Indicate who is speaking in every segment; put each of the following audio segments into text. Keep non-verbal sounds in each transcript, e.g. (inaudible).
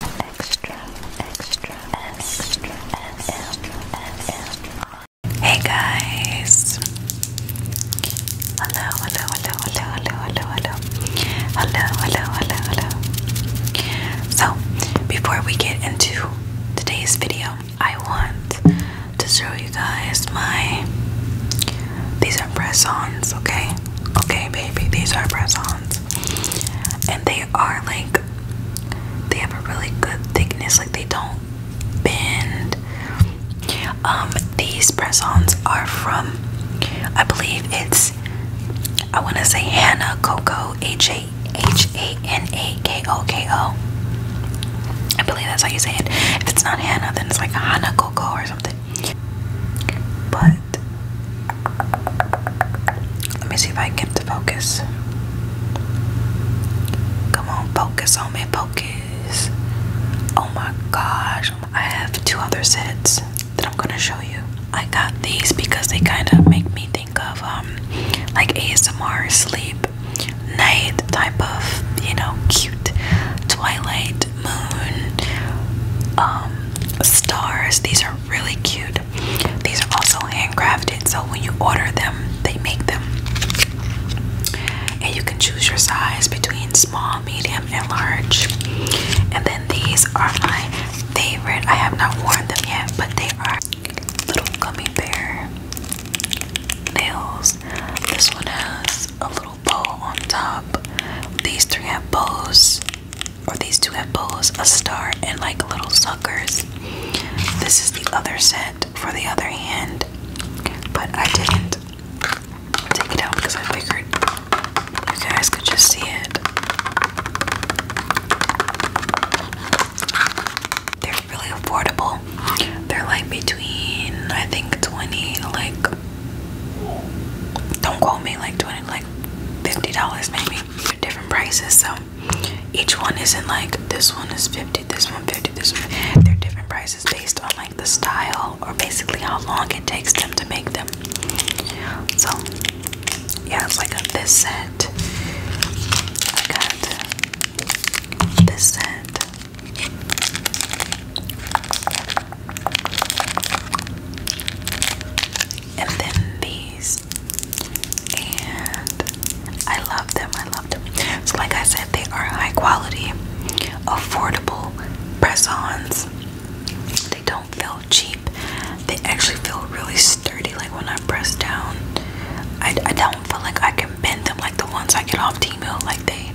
Speaker 1: Extra, extra, extra, extra, extra. Hey guys! Hello, hello, hello, hello, hello, hello, hello, hello, hello, hello, hello. So, before we get into today's video, I want to show you guys my. These are press-ons, okay? Okay, baby, these are press-ons, and they they are like they have a really good thickness like they don't bend um, these press-ons are from i believe it's i want to say hannah coco h-a-h-a-n-a-k-o-k-o i believe that's how you say it if it's not hannah then it's like hannah coco or something but let me see if I can get to focus. Come on, focus on me, focus. Oh my gosh, I have two other sets that I'm gonna show you. I got these because they kind of make me think of um, like ASMR sleep night type of you know cute twilight moon um, stars. These are really cute. These are also handcrafted, so when you order them, they make them. And you can choose your size between small, medium, and large. And then these are my favorite. I have not worn them yet, but they are little gummy bear nails. This one has a little bow on top. These three have bows or these two have bows, a star, and like little suckers. This is the other set for the other hand, but I didn't take it out because I figured you guys could just see it. They're really affordable. They're like between, I think, 20, like, don't quote me, like 20, like $50 maybe different prices. So each one isn't like this one is 50, this one 50, this one. They're different prices based on like the style or basically how long it takes them to make them. So yeah, it's like a, this set. I got this set and then these. And I love them. I love them. So, like I said, they are high quality, affordable press ons. They don't feel cheap, they actually feel really sturdy. Like when I press down, I, I don't feel like I can bend them like the ones I get off T-Mill, like they,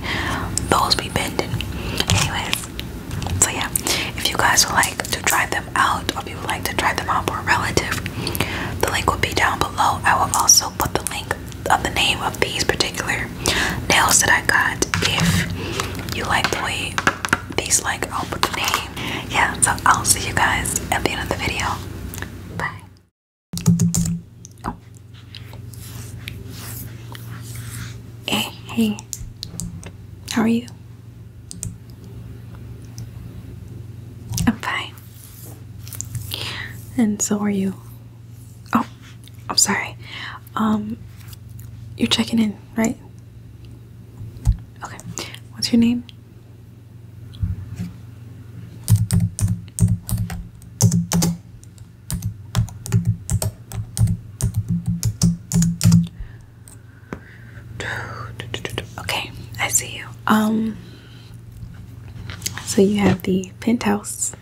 Speaker 1: those be bending. Anyways, so yeah, if you guys would like to try them out or if you would like to try them out for a relative, the link will be down below. I will also put the link of the name of these particular nails that I got if you like the way these like I'll put the name. Yeah, so I'll see you guys at the end of the video. Bye. Hey, oh. eh, hey. How are you? I'm fine. And so are you. Oh, I'm sorry. Um, you're checking in, right? Okay. What's your name? Okay, I see you. Um so you have the penthouse.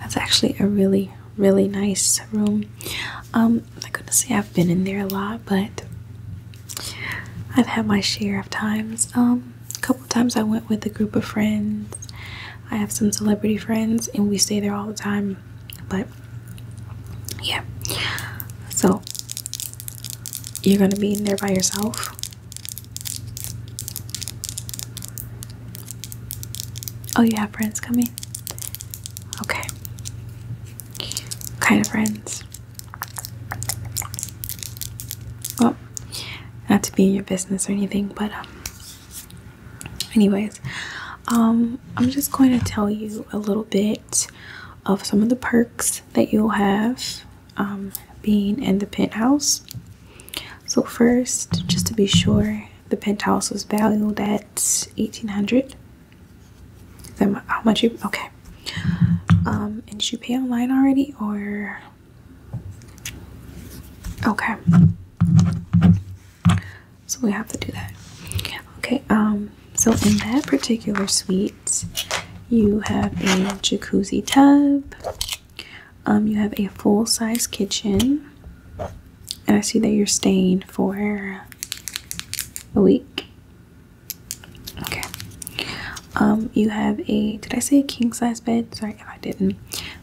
Speaker 1: That's actually a really, really nice room. Um, I'm not gonna say I've been in there a lot, but I've had my share of times. Um, a couple times I went with a group of friends. I have some celebrity friends and we stay there all the time. But yeah so you're gonna be in there by yourself oh you have friends coming okay kind of friends well not to be in your business or anything but um anyways um, i'm just going to tell you a little bit of some of the perks that you'll have um, being in the penthouse so first just to be sure the penthouse was valued at 1800 then how much you okay um, and did you pay online already or okay so we have to do that. Okay, um, so in that particular suite, you have a jacuzzi tub. Um, you have a full-size kitchen. And I see that you're staying for a week. Okay. Um, you have a, did I say king-size bed? Sorry if I didn't.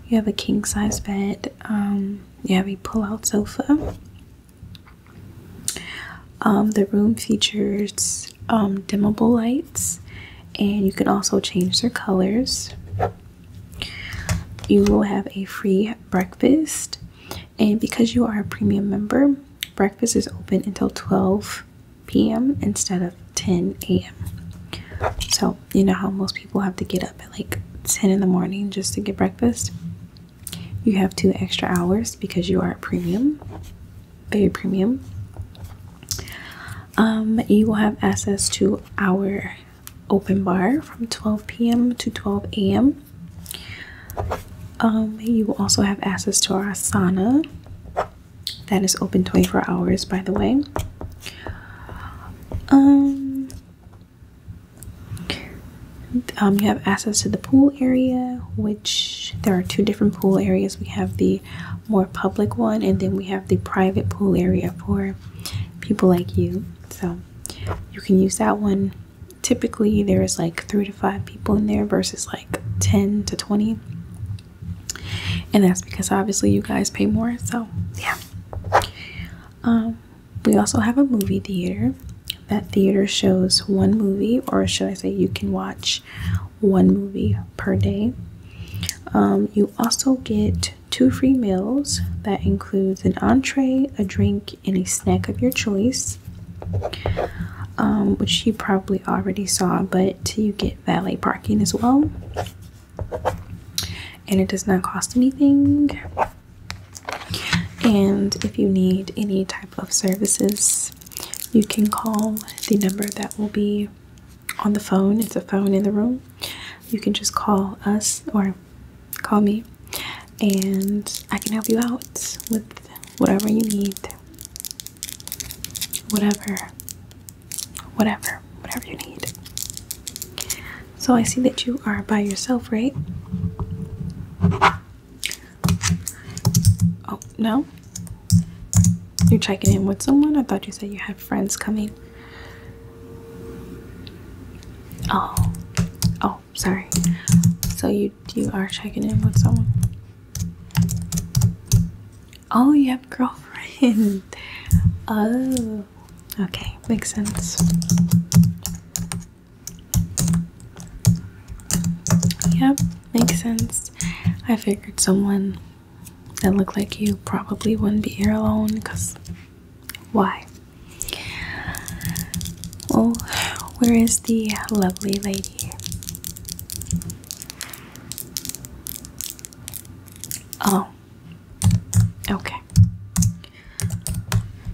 Speaker 1: You have a king-size bed. Um, you have a pull-out sofa. Um, the room features um, dimmable lights, and you can also change their colors. You will have a free breakfast, and because you are a premium member, breakfast is open until 12 p.m. instead of 10 a.m. So, you know how most people have to get up at like 10 in the morning just to get breakfast? You have two extra hours because you are at premium, very premium. Um, you will have access to our open bar from 12 p.m. to 12 a.m. Um, you will also have access to our sauna that is open 24 hours, by the way. Um, um, you have access to the pool area, which there are two different pool areas. We have the more public one, and then we have the private pool area for people like you. So you can use that one. Typically, there is like three to five people in there versus like 10 to 20. And that's because obviously you guys pay more. So, yeah. Um, we also have a movie theater. That theater shows one movie, or should I say, you can watch one movie per day. Um, you also get two free meals that includes an entree, a drink, and a snack of your choice, um, which you probably already saw, but you get valet parking as well. And it does not cost anything. And if you need any type of services, you can call the number that will be on the phone. It's a phone in the room. You can just call us or call me, and I can help you out with whatever you need. Whatever, whatever, whatever you need. So I see that you are by yourself, right? Oh, no? You're checking in with someone? I thought you said you had friends coming. Oh. Oh, sorry. So you you are checking in with someone. Oh, you have a girlfriend. (laughs) Oh. Okay, makes sense. Yep, makes sense. I figured someone that looked like you probably wouldn't be here alone because why? Well, where is the lovely lady? Oh, okay.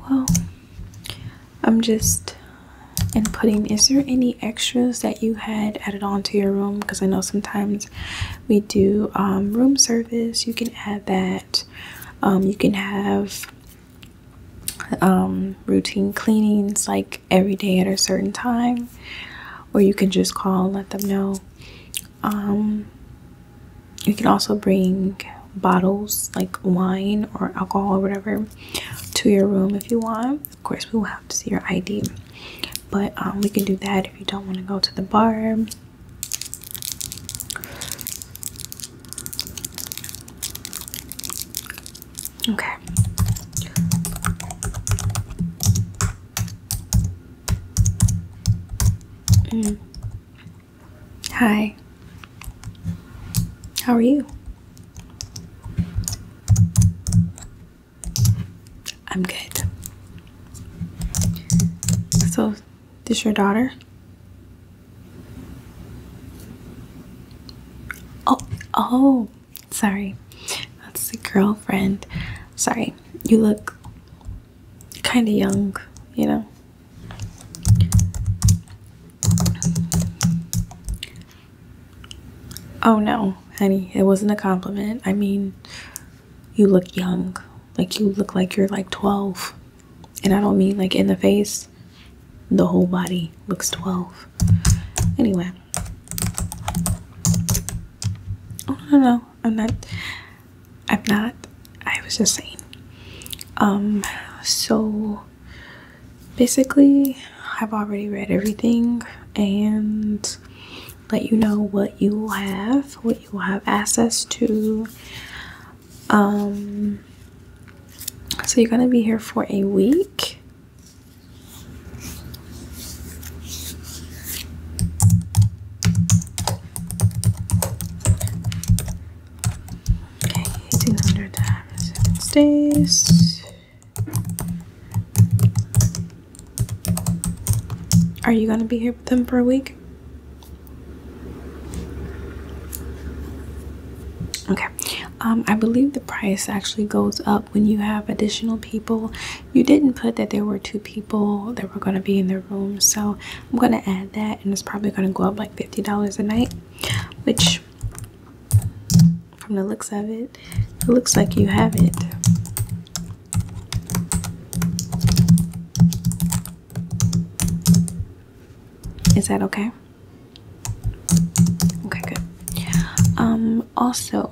Speaker 1: Well, I'm just inputting. Is there any extras that you had added on to your room? Because I know sometimes we do um, room service. You can add that. Um, you can have um, routine cleanings like every day at a certain time, or you can just call and let them know. you can also bring bottles like wine or alcohol or whatever to your room if you want. Of course, we will have to see your ID, but um, we can do that if you don't want to go to the bar. Okay. Mm. Hi. How are you? I'm good. So, is your daughter? Oh, oh, sorry. That's the girlfriend. Sorry, you look kind of young, you know. Oh no, honey, it wasn't a compliment. I mean, you look young. Like you look like you're like 12. And I don't mean like in the face. The whole body looks 12. Anyway. Oh no, no, no. I'm not I'm not. I was just saying. Um so basically, I've already read everything and let you know what you will have, what you will have access to. Um, so you're gonna be here for a week. Okay, 200 times 7 days. Are you going to be here with them for a week? Okay, um, I believe the price actually goes up when you have additional people. You didn't put that there were two people that were going to be in the room, so I'm going to add that, and it's probably going to go up like $50 a night which from the looks of it, it looks like you have it. Is that okay? Okay, good. Um, also,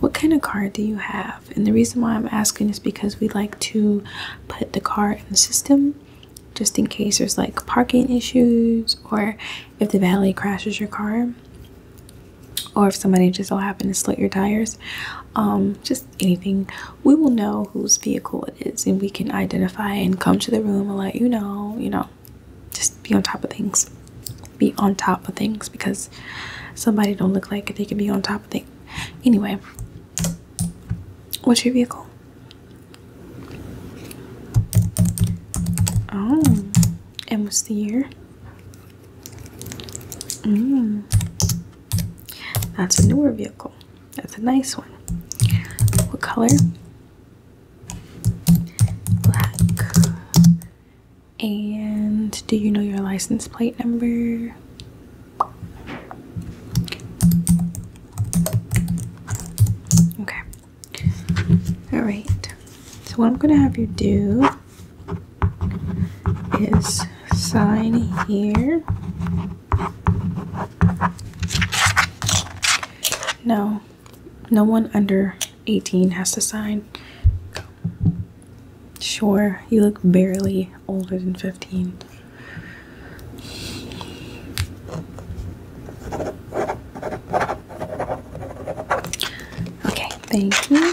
Speaker 1: what kind of card do you have? And the reason why I'm asking is because we like to put the card in the system just in case there's like parking issues or if the valet crashes your car or if somebody just so happened to slit your tires um just anything we will know whose vehicle it is and we can identify and come to the room and let you know you know just be on top of things be on top of things because somebody don't look like they can be on top of things anyway What's your vehicle? Oh, and what's the year? Mm. That's a newer vehicle. That's a nice one. What color? Black. And do you know your license plate number? Okay. All right. So what I'm going to have you do is sign here. No. No one under 18 has to sign. Sure, you look barely older than 15. Okay, thank you.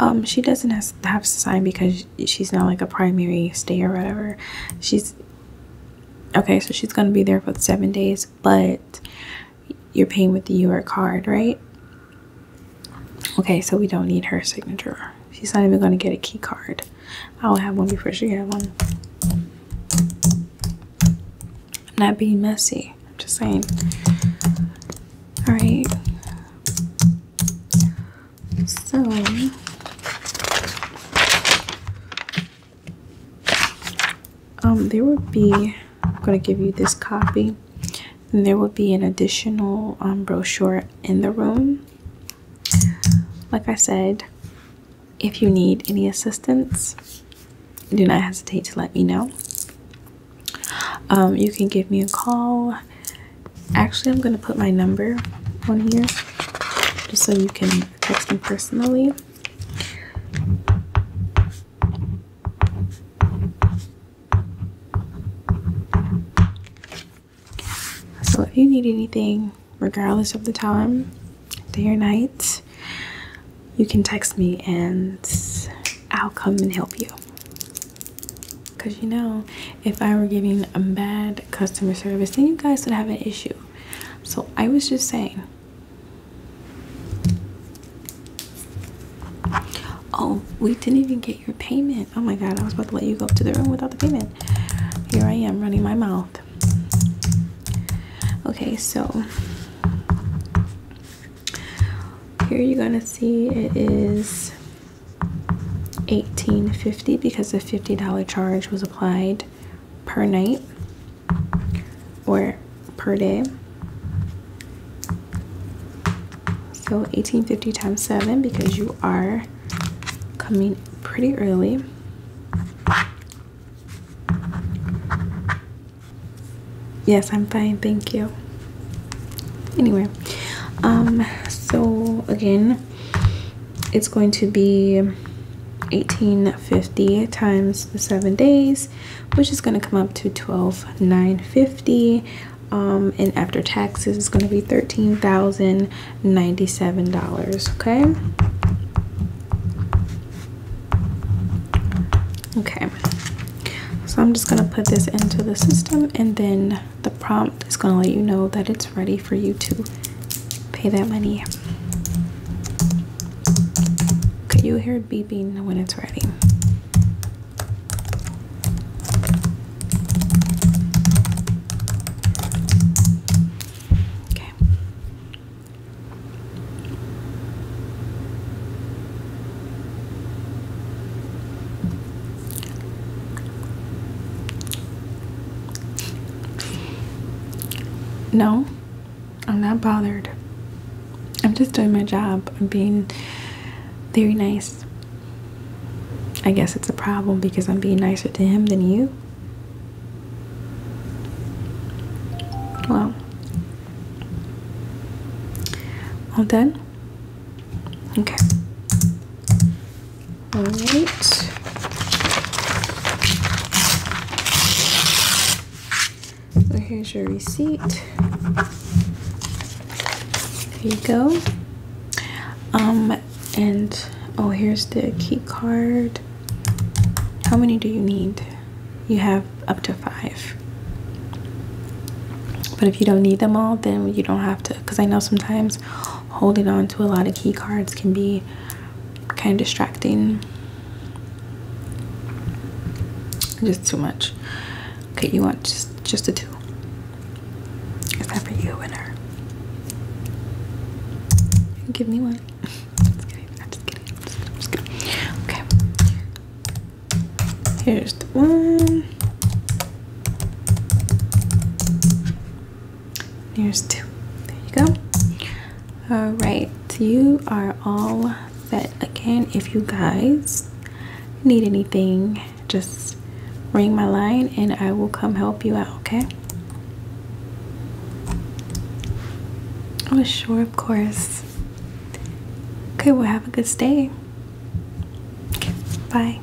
Speaker 1: Um, she doesn't have to sign because she's not like a primary stay or whatever. She's okay, so she's gonna be there for the seven days, but you're paying with the UR card, right? Okay, so we don't need her signature. She's not even gonna get a key card. I'll have one before she had one. I'm not being messy. I'm just saying. All right. So um there would be I'm gonna give you this copy and there will be an additional um brochure in the room. Like I said, if you need any assistance, do not hesitate to let me know. Um, you can give me a call. Actually, I'm going to put my number on here just so you can text me personally. So, if you need anything, regardless of the time, day or night, you can text me and I'll come and help you. Because you know, if I were giving a bad customer service, then you guys would have an issue. So I was just saying. Oh, we didn't even get your payment. Oh my god, I was about to let you go up to the room without the payment. Here I am running my mouth. Okay, so here you're gonna see it is $18.50 because the $50 charge was applied per night or per day. So 1850 times 7 because you are coming pretty early. Yes, I'm fine, thank you. Anyway, um, so again, it's going to be 1850 times the seven days, which is going to come up to 12950. Um, and after taxes, it's going to be 13,000. $97 okay okay so i'm just going to put this into the system and then the prompt is going to let you know that it's ready for you to pay that money Can you hear it beeping when it's ready Okay. No, I'm not bothered. I'm just doing my job. I'm being very nice. I guess it's a problem because I'm being nicer to him than you. Wow. All done? Okay. All right. So here's your receipt. There you go. Um, and oh, here's the key card. How many do you need? You have up to five. But if you don't need them all, then you don't have to. Because I know sometimes holding on to a lot of key cards can be kind of distracting. Just too much. Okay, you want just just a two. Is that for you, winner? Give me one. Okay. Here's the one. Here's two. There you go. All right, you are all set. Again, if you guys need anything, just ring my line and I will come help you out, okay? Oh, sure, of course. Okay, well, have a good stay. Okay, bye.